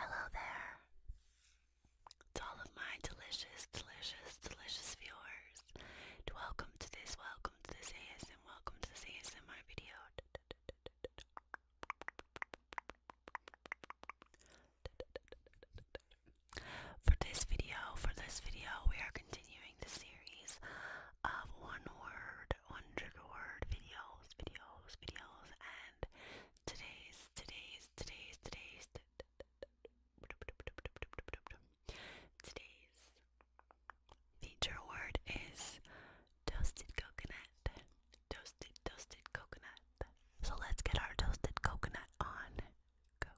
Hello there to all of my delicious, delicious, delicious viewers. Welcome to this, welcome to this ASM, welcome to this ASMR video. For this video, for this video, we are continuing the series of one word, one trigger word videos, videos, videos, and today's, today's, today's, today's, today's feature word is toasted coconut, toasted, toasted coconut. So let's get our toasted coconut on. Go.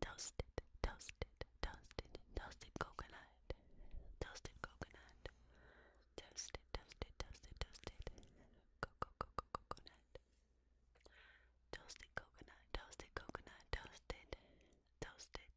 Toasted, toasted, toasted, toasted coconut, toasted coconut, toasted, toasted, toasted, toasted, coconut, toasted coconut, toasted coconut, toasted, toasted,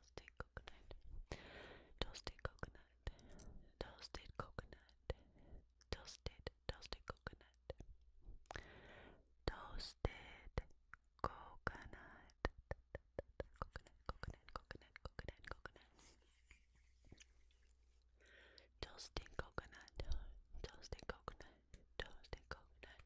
toasted coconut, toasted coconut, toasted coconut, toasted, toasted coconut, toasted coconut, coconut, coconut, coconut, coconut, coconut, toasted coconut, toasted coconut, toasted coconut,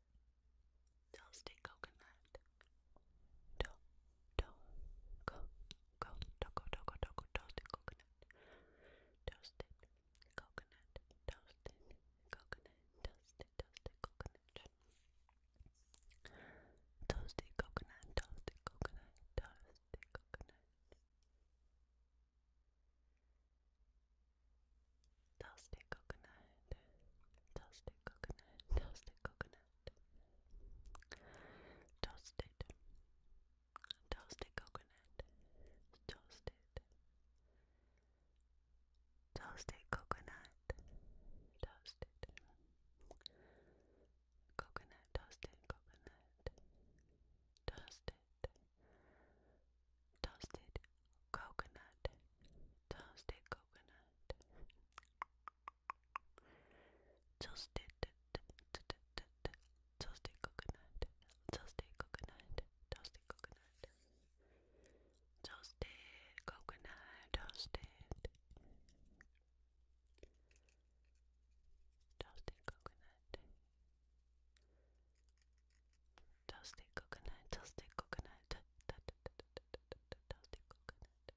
Toasted coconut. To, to, go, go, toco, toco, toco, toasted coconut. Toasted coconut, toasted coconut, toasted, toasted coconut. Toasted coconut, toasted coconut, toasted coconut. Toasted coconut, toasted coconut, toasted coconut, toasted, toasted coconut, toasted, toasted coconut, toasted, coconut, toasted coconut, toasted, Toasted coconut. Toasted coconut. Toasted. Toasted coconut. Toasted coconut. Toasted coconut. Toasted coconut. Toasted. Toasted coconut toasted coconut, toasted coconut, toasted coconut, toasted coconut,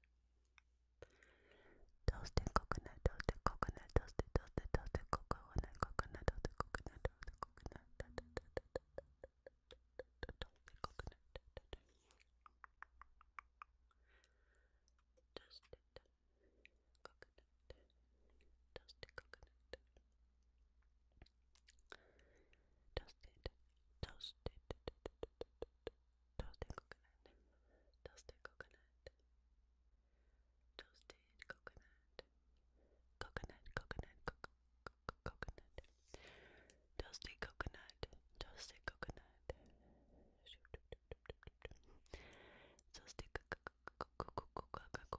toasted coconut, toasted, toasted, toasted coconut, coconut, toasted coconut, toasted coconut, toasted coconut, toasted coconut, toasted coconut. Toasted, toasted, toasted coconut, toasted coconut, toasted coconut, coconut, coconut, coconut, coconut, toasted coconut, toasted coconut, toasted coconut, toasted coconut,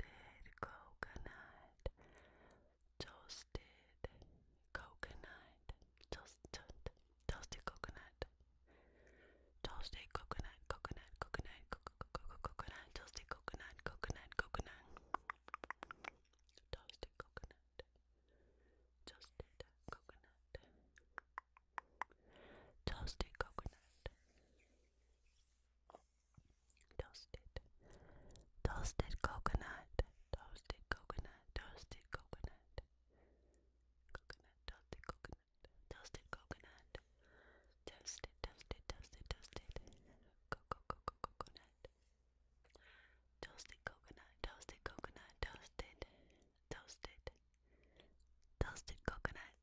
toasted coconut, toasted coconut, toast, toast, toasted coconut, toasted coconut, coconut, coconut, co co co coconut, toasted coconut, coconut, coconut, toasted coconut, toasted coconut, toasted coconut. Toasted. Toasted coconut. Toasted coconut. Toasted coconut. Coconut. Toasted coconut. Toasted coconut. Toasted. Toasted. Toasted. Toasted. Coco coco coconut. Toasted coconut. Toasted coconut. Toasted. Toasted. Toasted coconut.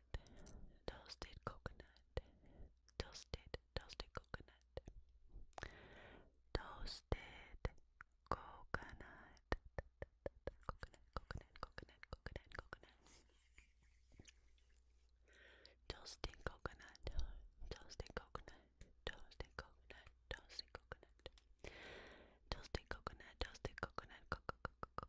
toasted coconut, toasted, toasted coconut, toasted coconut, coconut, coconut, coconut, coconut, coconut, toasted coconut, toasted coconut, toasted coconut, toasted coconut, toasted coconut, toasted coconut, coconut, coconut,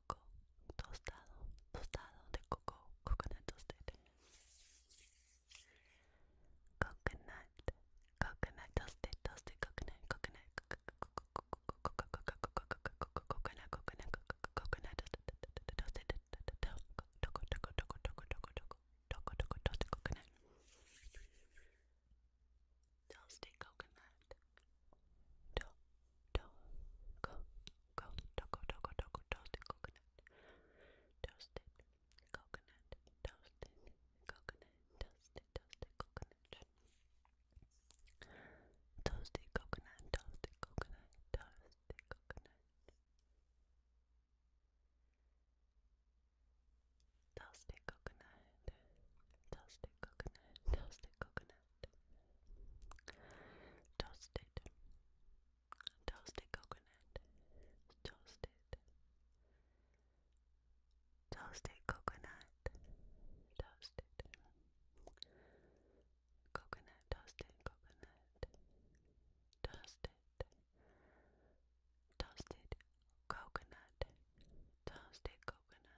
cocoa, tostado, tostado de cocoa, coconut toasted. Coconut, coconut toasted, toasted coconut, coconut, coconut, coconut, coconut toasted, toasted coconut. Toasted coconut. Toco, go, toco, toco, toco, toasted coconut, toasted coconut, toasted coconut, toasted, toasted coconut, toasted coconut, toasted coconut, toasted coconut, toasted coconut, toasted coconut, toasted coconut, coconut. Toasted. Toasted coconut. Toasted. Toasted coconut. Toasted. Coconut toasted coconut. Toasted. Toasted coconut. Toasted coconut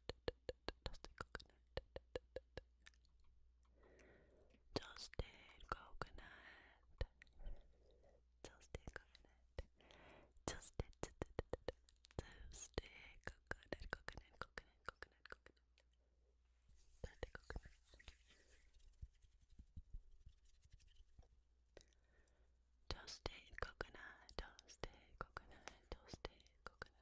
Dusty coconut. Toasted coconut. Toasted coconut. Toasted toasted coconut, coconut, coconut, coconut, coconut. coconut. Toasted coconut, toasted coconut, toasted coconut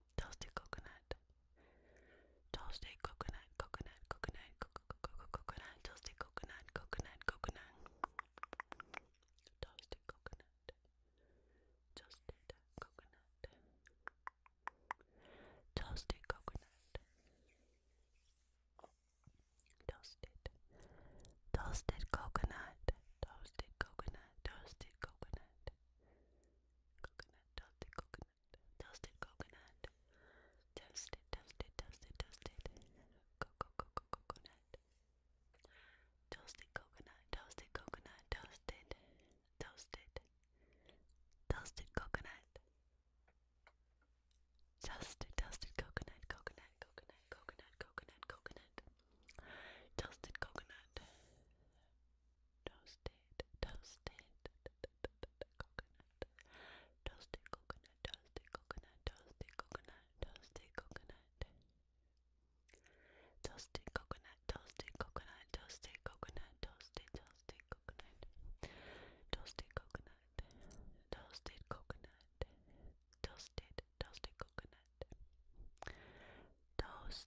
Toasted coconut. Toasted coconut, coconut, coconut, coconut, coconut, toasted coconut, coconut, coconut. Toasted coconut. Toasted coconut. Toasted coconut. Toasted. Toasted coconut. Toasted coconut. Toasted coconut coconut, toasted coconut, toasted coconut, toasted, toasted, toasted, toasted, coco, coco, coconut, toasted coconut, toasted coconut, toasted, toasted, toasted coconut, toasted, toasted coconut, coconut, coconut, coconut, coconut, coconut. Toasted coconut. Toasted, toasted, coconut. Toasted coconut, toasted coconut, toasted coconut, toasted coconut. Toasted coconut, toasted coconut, toasted coconut, toasted, toasted coconut. Toasted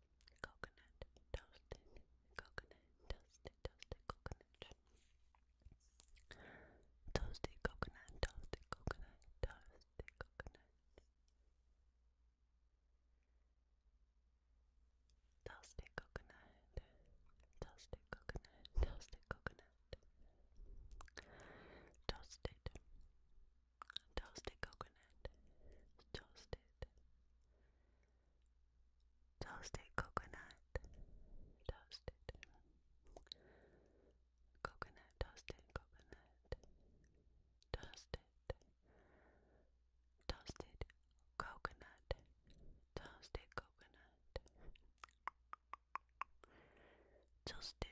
coconut, toasted coconut, toasted, toasted coconut. Toasted coconut, toasted coconut, toasted coconut. Toasted coconut, toasted coconut, toasted toasted coconut, toasted, toasted coconut, toasted, coconut, toasted coconut, toasted, toasted coconut, toasted coconut, toasted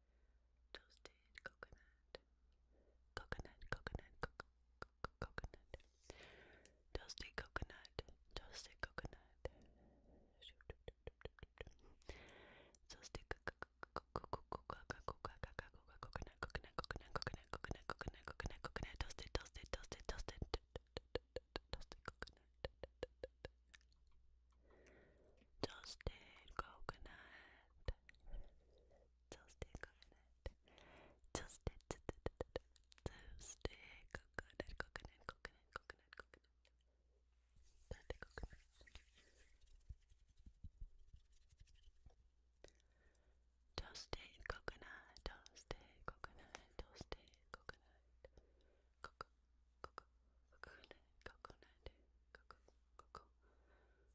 toasted coconut, coconut, coconut, co co coconut, toasted coconut, toasted coconut, toasted coconut, coconut, coconut, coconut, coconut, coconut, coconut, coconut, toasted, toasted, toasted, toasted, toasted coconut. Toasted coconut, Toasted coconut. Toasted toasted coconut, coconut, coconut, coconut, coconut. Toasted coconut. Toasted coconut, toasted coconut, toasted coconut. Coco, coco, coconut, coconut, coco,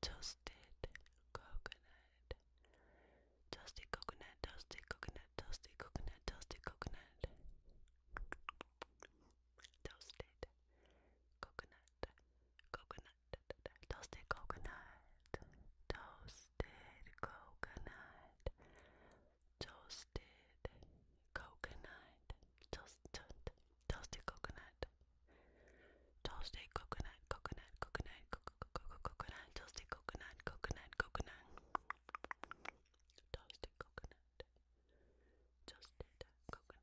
toasted coconut, toasted coconut, toasted coconut, toasted coconut, toasted coconut, toasted coconut, coconut, toasted coconut, toasted coconut, toasted coconut, toast, toasted coconut. Toasted coconut, coconut, coconut, coconut, coconut, toasted coconut, coconut, coconut, toasted coconut, toasted coconut,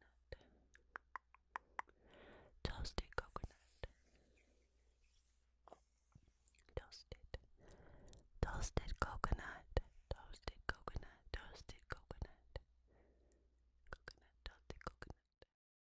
toasted coconut, toasted, toasted coconut, toasted coconut, toasted coconut, coconut, toasted coconut.